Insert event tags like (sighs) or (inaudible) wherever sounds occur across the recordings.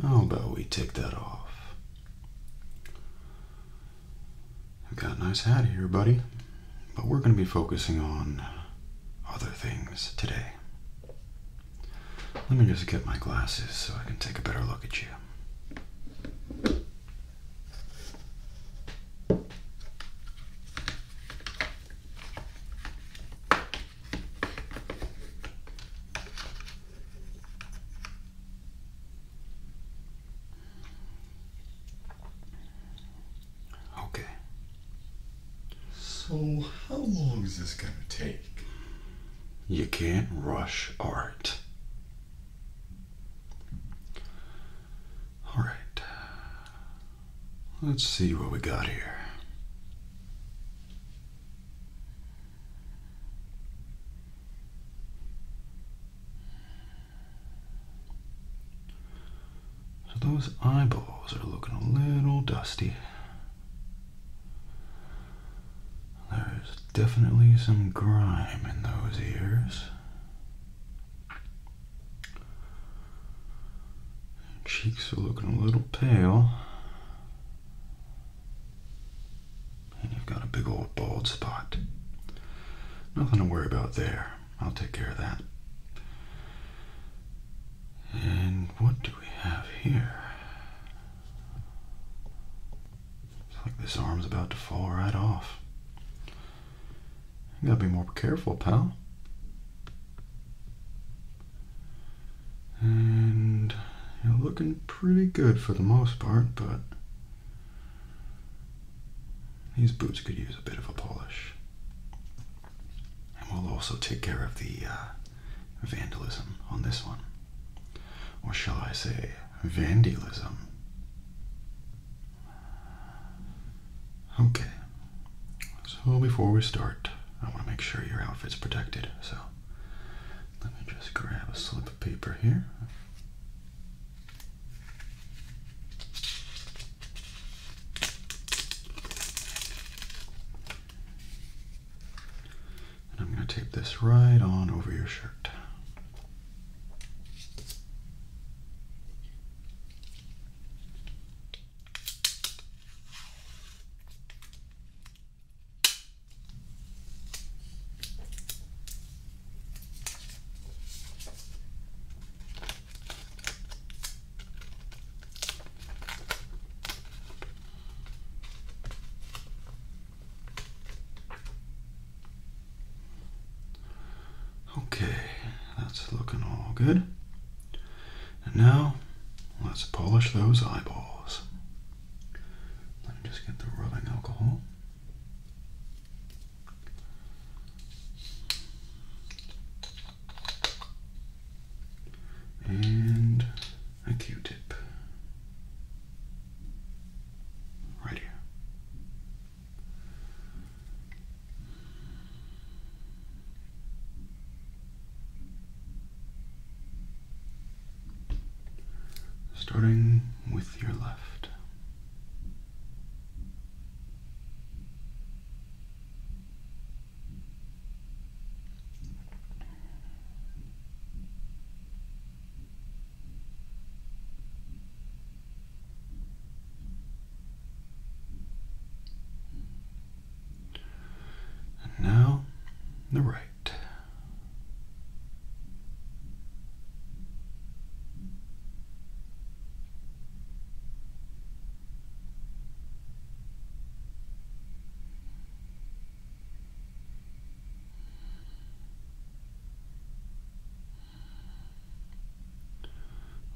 How about we take that off? I've got a nice hat here, buddy, but we're going to be focusing on other things today. Let me just get my glasses so I can take a better look at you. Okay. So, how long is this gonna take? You can't rush art. All right. Let's see what we got here. So those eyeballs are looking a little dusty. There's definitely some grime in those ears. Cheeks are looking a little pale. And you've got a big old bald spot. Nothing to worry about there. I'll take care of that. And what do we have here? It's like this arm's about to fall right off. You gotta be more careful, pal. And you're looking pretty good for the most part, but these boots could use a bit of a polish. And we'll also take care of the uh, vandalism on this one. Or shall I say, vandalism? Okay, so before we start, I want to make sure your outfit's protected, so let me just grab a slip of paper here. And I'm going to tape this right on over your shirt. Okay, that's looking all good. And now let's polish those eyeballs. Let me just get the rubbing alcohol and a q-tip right here starting with your left and now the right.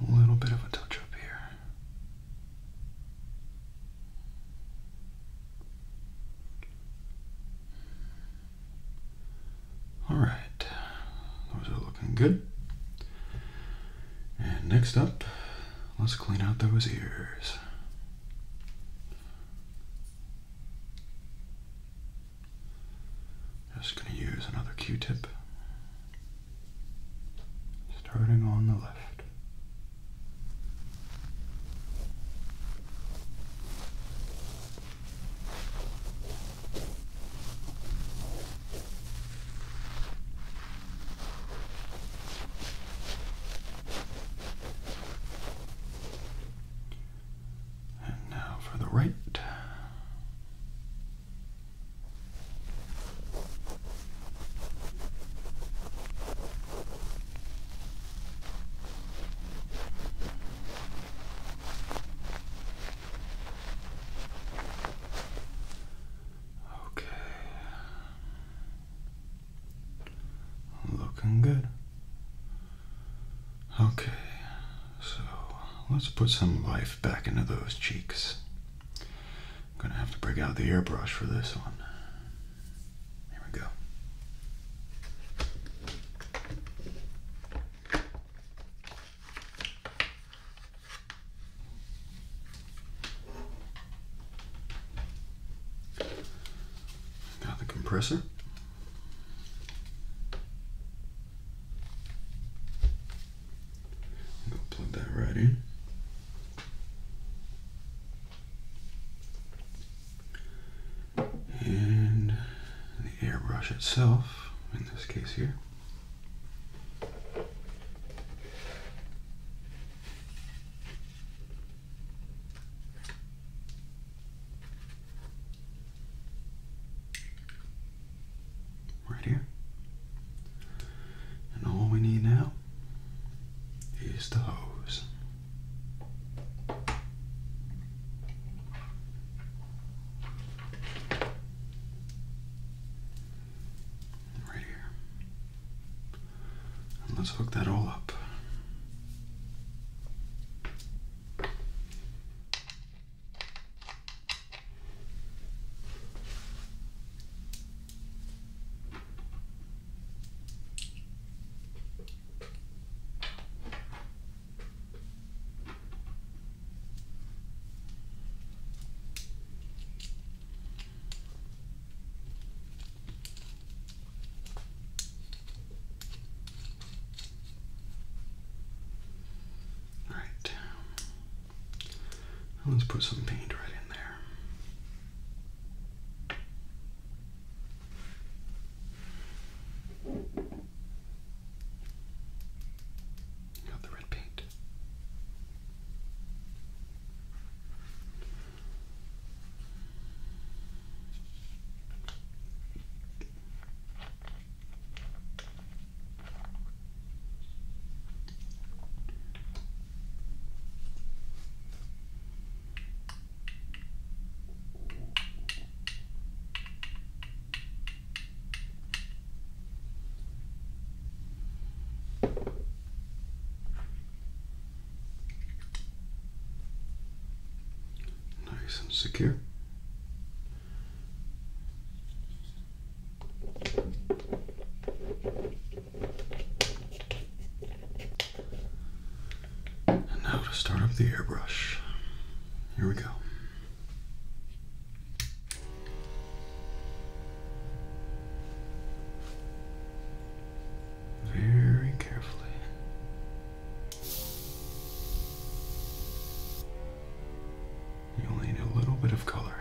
A little bit of a touch up here. All right, those are looking good. And next up, let's clean out those ears. Just going to use another Q-tip, starting on the left. And now for the right. Okay. Looking good. Okay, so let's put some life back into those cheeks. I'm gonna have to break out the airbrush for this one. Here we go. Got the compressor. Go plug that right in and the airbrush itself, in this case here. Right here. And all we need now is the hose. Right here. let's hook that all up. All right. Let's put some paint right in there. Got the red paint. Nice and secure. And now to start up the airbrush. Here we go. Very carefully. You only need a little bit of color.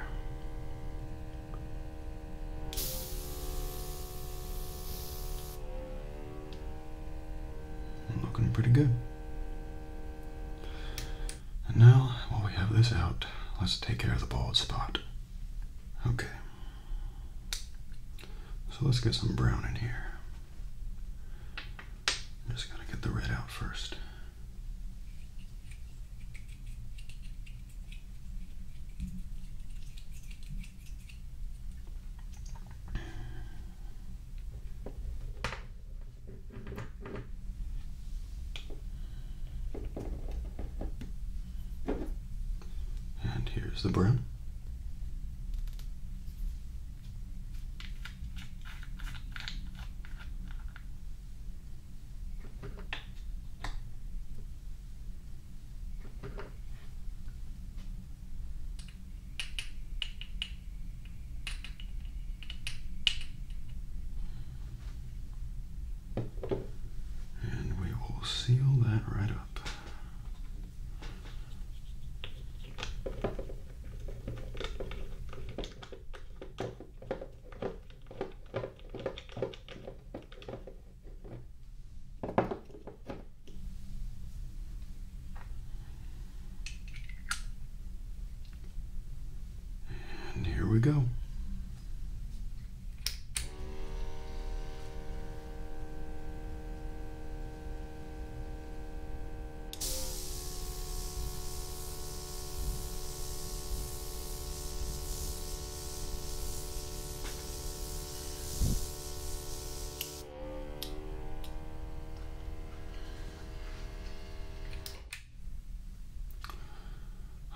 Looking pretty good. And now, while we have this out, let's take care of the bald spot. Okay. So let's get some brown in here. just gotta get the red out first. And here's the broom. And we will seal that right up. And here we go.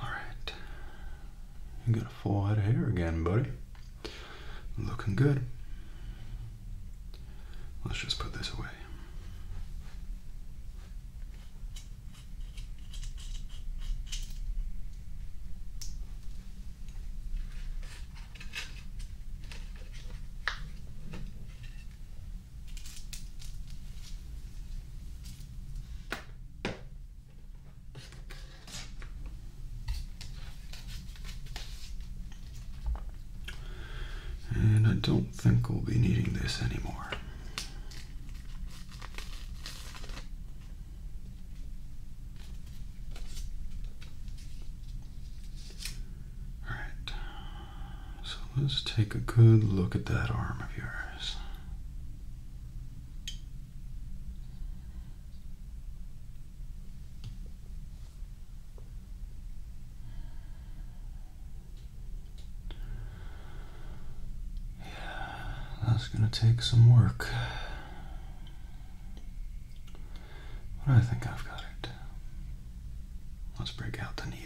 All right. You got a full head of hair again, buddy. Looking good. Let's just put this away. And I don't think we'll be needing this anymore. All right, so let's take a good look at that arm of yours. Yeah, that's gonna take some work. But I think I've got it. Let's break out the needle.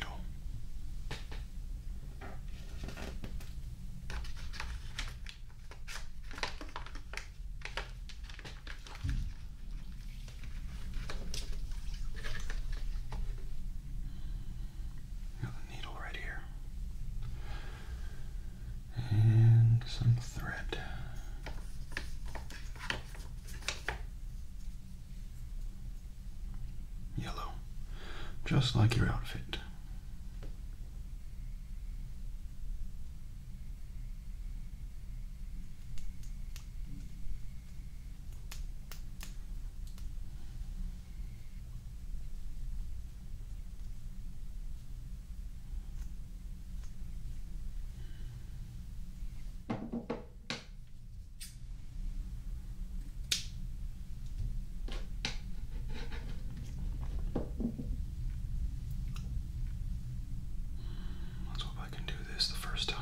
Got a needle right here. And some thread. Yellow. Just like your outfit. Let's hope I can do this the first time.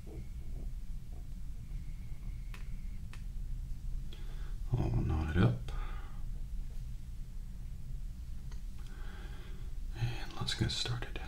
all knotted up. And let's get started. (laughs)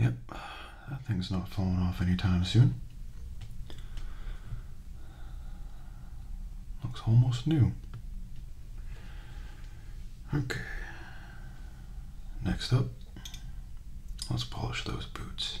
Yep, that thing's not falling off anytime soon. Looks almost new. Okay, next up, let's polish those boots.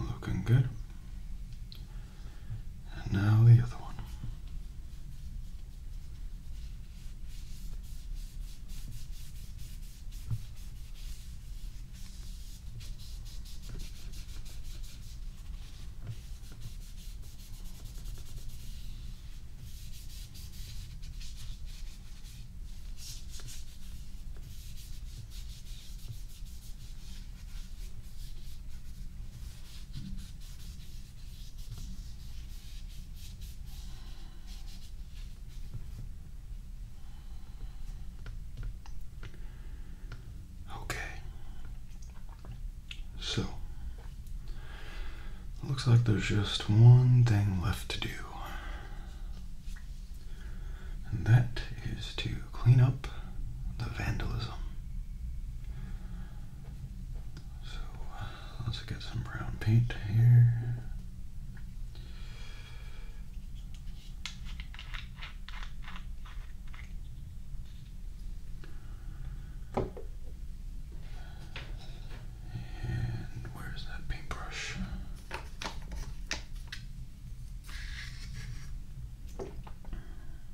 Looking good. And now the other one. Okay. So, looks like there's just one thing left to do. And that is to clean up the vandalism. So let's get some brown paint here. And where's that paintbrush?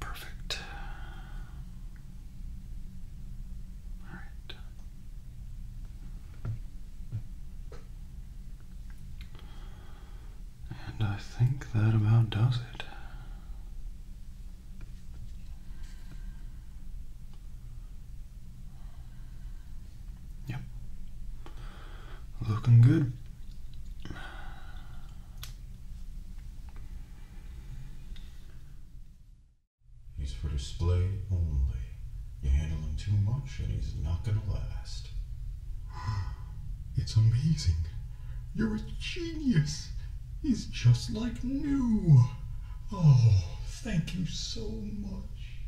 Perfect. All right. And I think that about does it. Yep. Looking good. He's for display only. You handle him too much and he's not gonna last. (sighs) It's amazing. You're a genius. He's just like new. Oh, thank you so much.